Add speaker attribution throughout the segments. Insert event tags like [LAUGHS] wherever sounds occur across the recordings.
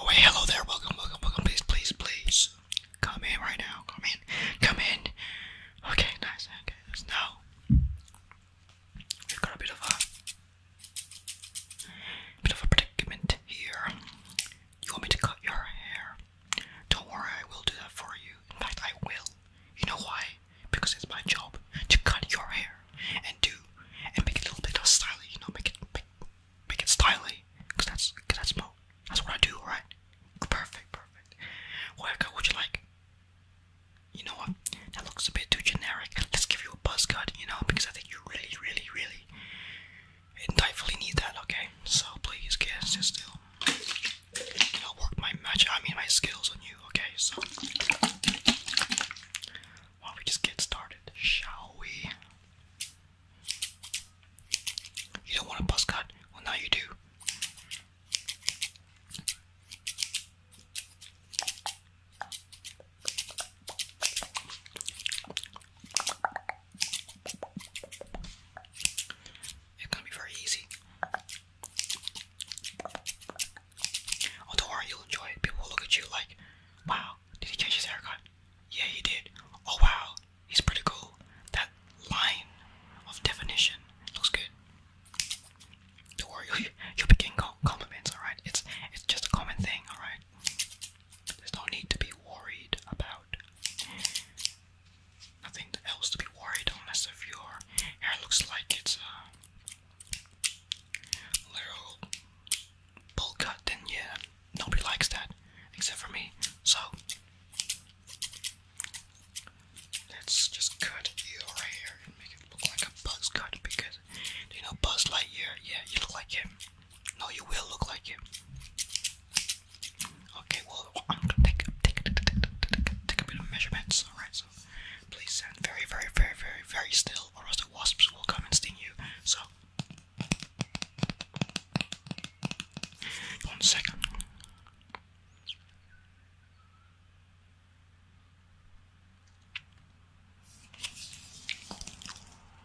Speaker 1: Oh hey, hello there, welcome, welcome, welcome, please, please, please. Come in right now, come in, come in. Okay, nice, okay, there's We've got a bit of a bit of a predicament here. You want me to cut your hair? Don't worry, I will do that for you. In fact, I will. You know why? Because it's my job to cut your hair and do and make it a little bit stylish, you know, make it make, make it stylish, cause that's cause that's mo that's what I do, alright? Perfect, perfect. What haircut would you like? You know what? That looks a bit too generic. Let's give you a buzz cut, you know, because I think you really, really, really rightfully need that, okay? So please get sit still. I'll work my magic I mean my skills on you, okay? So why don't we just get started, shall we? You don't want a buzz cut? Well, now you do. It's gonna be very easy. Oh, don't worry, you'll enjoy it. People will look at you like, wow, did he change his haircut? Yeah, he did. Oh, wow, he's pretty cool. That line of definition looks good. Don't worry, you'll, be getting compliments, alright? It's, it's just a common thing, alright? There's no need to be worried about nothing else to be worried unless if your hair looks like it's uh, Literal pull cut, then yeah, nobody likes that except for me. So let's just cut you right and make it look like a Buzz cut because you know Buzz Lightyear. Yeah, you look like him. No, you will look like him. Okay, well, I'm gonna take take, take, take, take, take a bit of measurements. All right, so Please stand very, very, very, very, very still, or else the wasps will come and sting you. So, one second.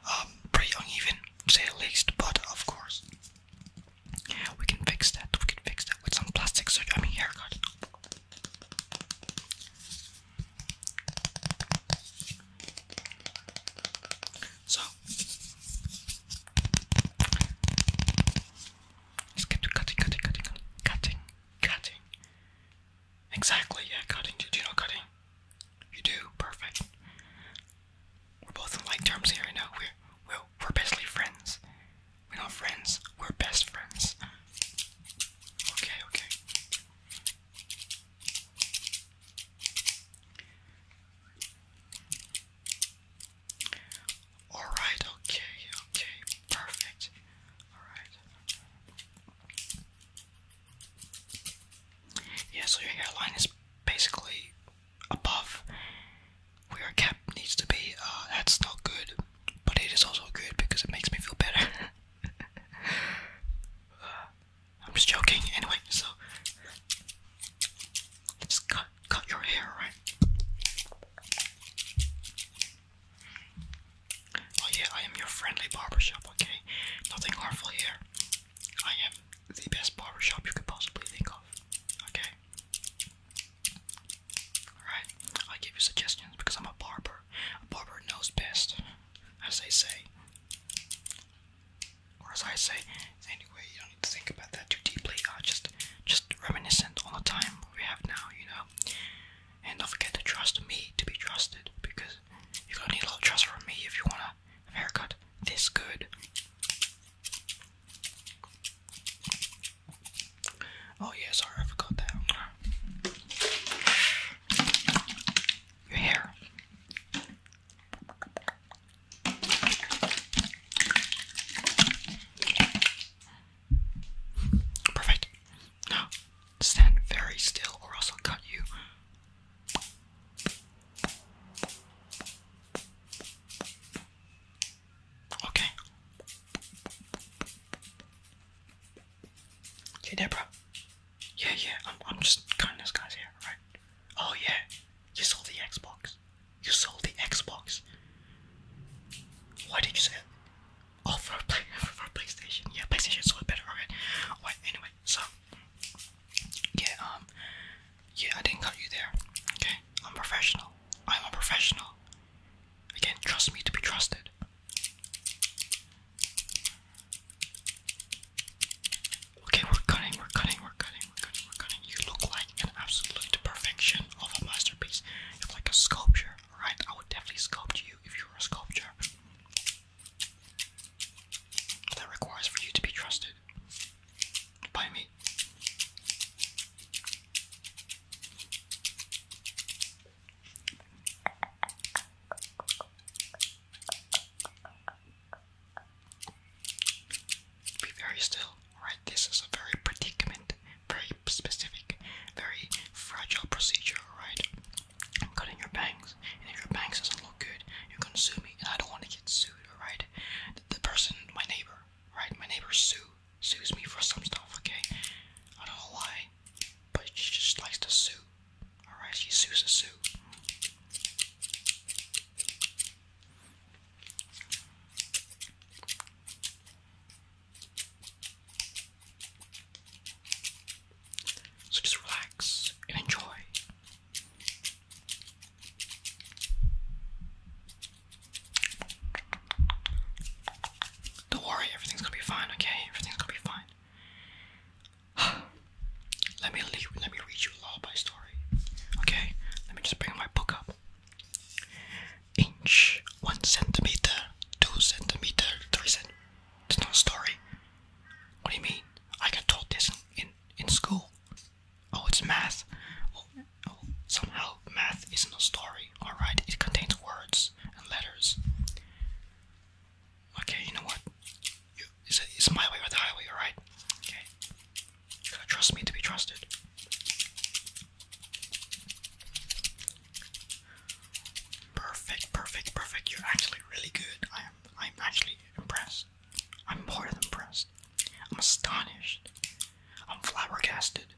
Speaker 1: Um, pretty uneven, to say the least, but of course, we can fix that. We can fix that with some plastic surgery. I mean, haircut. So, let's get to cutting, cutting, cutting, cutting, cutting. Exactly, yeah, cutting. Do you cutting? You do, perfect. We're both in like terms here, you know. We're, we we're basically friends. We're not friends. We're best friends. Okay, okay. Alright, okay, okay, perfect. Alright. Yeah, so your hairline is basically above where a cap needs to be, uh, that's not good, but it is also good because it makes me feel better. [LAUGHS] I'm just joking, anyway, so just cut, cut your hair, right? Oh yeah, I am your friendly barbershop, okay? Nothing harmful here. I am the best barbershop you could possibly think of, okay? Alright, I give you suggestions because I'm a barber. A barber knows best, as they say. Or as I say, anyway, you don't need to think about that too deeply. I just just reminiscent on the time we have now, you know. And don't forget to trust me to be trusted, because you're gonna need a lot of trust from me if you wanna have a haircut this good. Oh yeah, sorry, I forgot that. Your hair. Perfect. Now, stand very still or else I'll cut you. Okay. Hey Deborah. Yeah, yeah, I'm, I'm just cutting this guy's here, right? Oh yeah, you sold the Xbox. You sold the Xbox. Why did you say? it? Oh, for, play, [LAUGHS] for PlayStation. Yeah, PlayStation sold better, alright. Alright, anyway, so, yeah, um, yeah, I didn't cut you there. Okay, I'm professional. I'm a professional. Again, trust me to be trusted. Okay, we're cutting, we're cutting, we're cutting, we're cutting, we're cutting. You look like an absolute perfection of a masterpiece. You're like a sculpture, right? I would definitely sculpt you if you were a sculpture. That requires for you to be trusted by me. Be very still, right? This is a very predicament, very specific, very fragile procedure, right? I'm cutting your bangs, and if your bangs doesn't look good, you're gonna sue me, and I don't want to get sued, alright? the person, my neighbor, right? My neighbor Sue sues me for some stuff, okay? I don't know why, but she just likes to sue. Alright, she sues a sue. So just relax and enjoy don't worry, everything's gonna be fine, okay? Everything's gonna be fine. [SIGHS] let me let me read you a lullaby story. Okay? Let me just bring my book up. Inch, one centimeter, two centimeter, three centimeter. It's not a story. What do you mean? I got told this in in school. Oh, it's math. Oh, oh somehow math isn't a story. All right, it contains words and letters. Okay, you know what? You, it's, it's my way or the highway. All right. Okay. You gotta trust me to be trusted. Perfect, perfect, perfect. You're actually really good. I am. I'm actually impressed. I'm more than impressed. I'm astonished. I'm flabbergasted.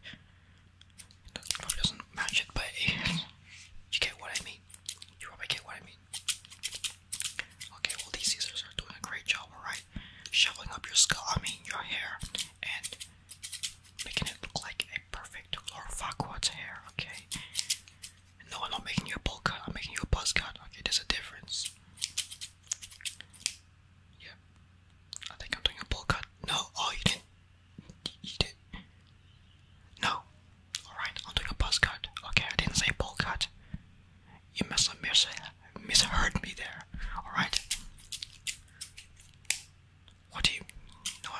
Speaker 1: doesn't match it, but [LAUGHS] you get what I mean. You probably get what I mean. Okay, well these scissors are doing a great job, alright? Shoveling up your skull, I mean your hair, and making it look like a perfect Lord Farquaad's hair, okay? No, I'm not making you a bowl cut. I'm making you a buzz cut. Okay, there's a difference. Yeah, I think I'm doing a bowl cut. No, oh, you didn't. You did. No. Alright, I'm doing a buzz cut. Okay, I didn't say bowl cut. You must have misheard me there. Alright. What do you. know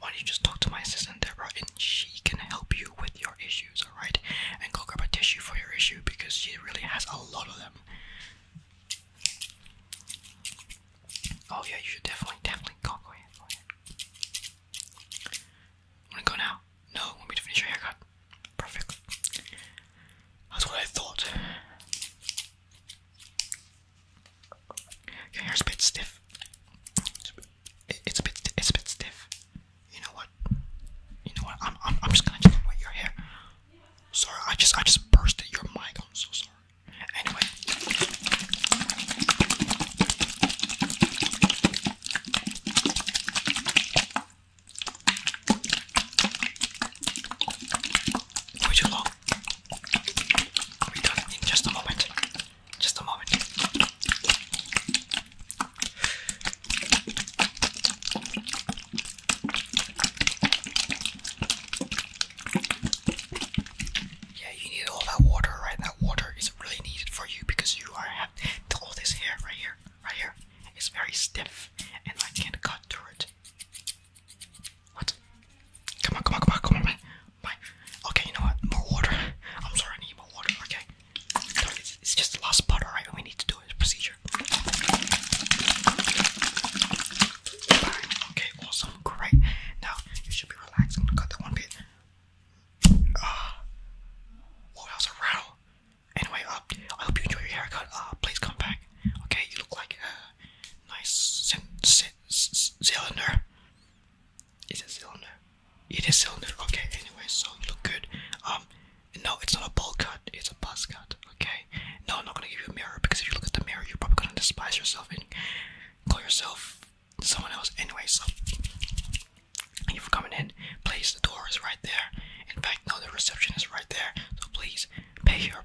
Speaker 1: why don't you just talk to my assistant Deborah and she can help you with your issues, alright? And go grab a tissue for your issue because she really has a lot of them. Oh yeah, you should definitely, definitely go, go ahead, go ahead. Wanna go now? No, want me to finish your haircut? Perfect. That's what I thought. Your hair's a bit stiff it's a bit it's a bit stiff. You know what? You know what? I'm I'm, I'm just gonna just wet your hair. Sorry, I just I just bursted your mic. I'm so sorry. Anyway. Way too long. We'll done in just a moment. Just a moment. Yeah, you need all that water, right? That water is really needed for you because you are have all this hair right here, right here. It's very stiff, and I can't cut through it. What? Come on, come on, come on, come on, bye. Bye. Okay, you know what? More water. I'm sorry, I need more water. Okay. No, it's, it's just the last part, alright? We need to do this procedure. Bang. Okay, awesome. Great. Now, you should be relaxed. I'm gonna cut that one bit. Uh, whoa, that was a rattle. Anyway, uh, I hope you enjoy your haircut. Uh, please come back. Okay, you look like a nice cylinder. It's a cylinder? It is cylinder. Okay. Anyway, so you look good. Um, no, it's not a ball cut. It's a buzz cut. Okay. No, I'm not gonna give you a mirror because if you look at the mirror, you're probably gonna despise yourself and call yourself someone else. Anyway, so thank you for coming in. Please, the door is right there. In fact, no, the reception is right there. So please pay your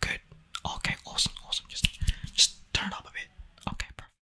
Speaker 1: Good. Okay, awesome, awesome. Just just turn up a bit. Okay, perfect.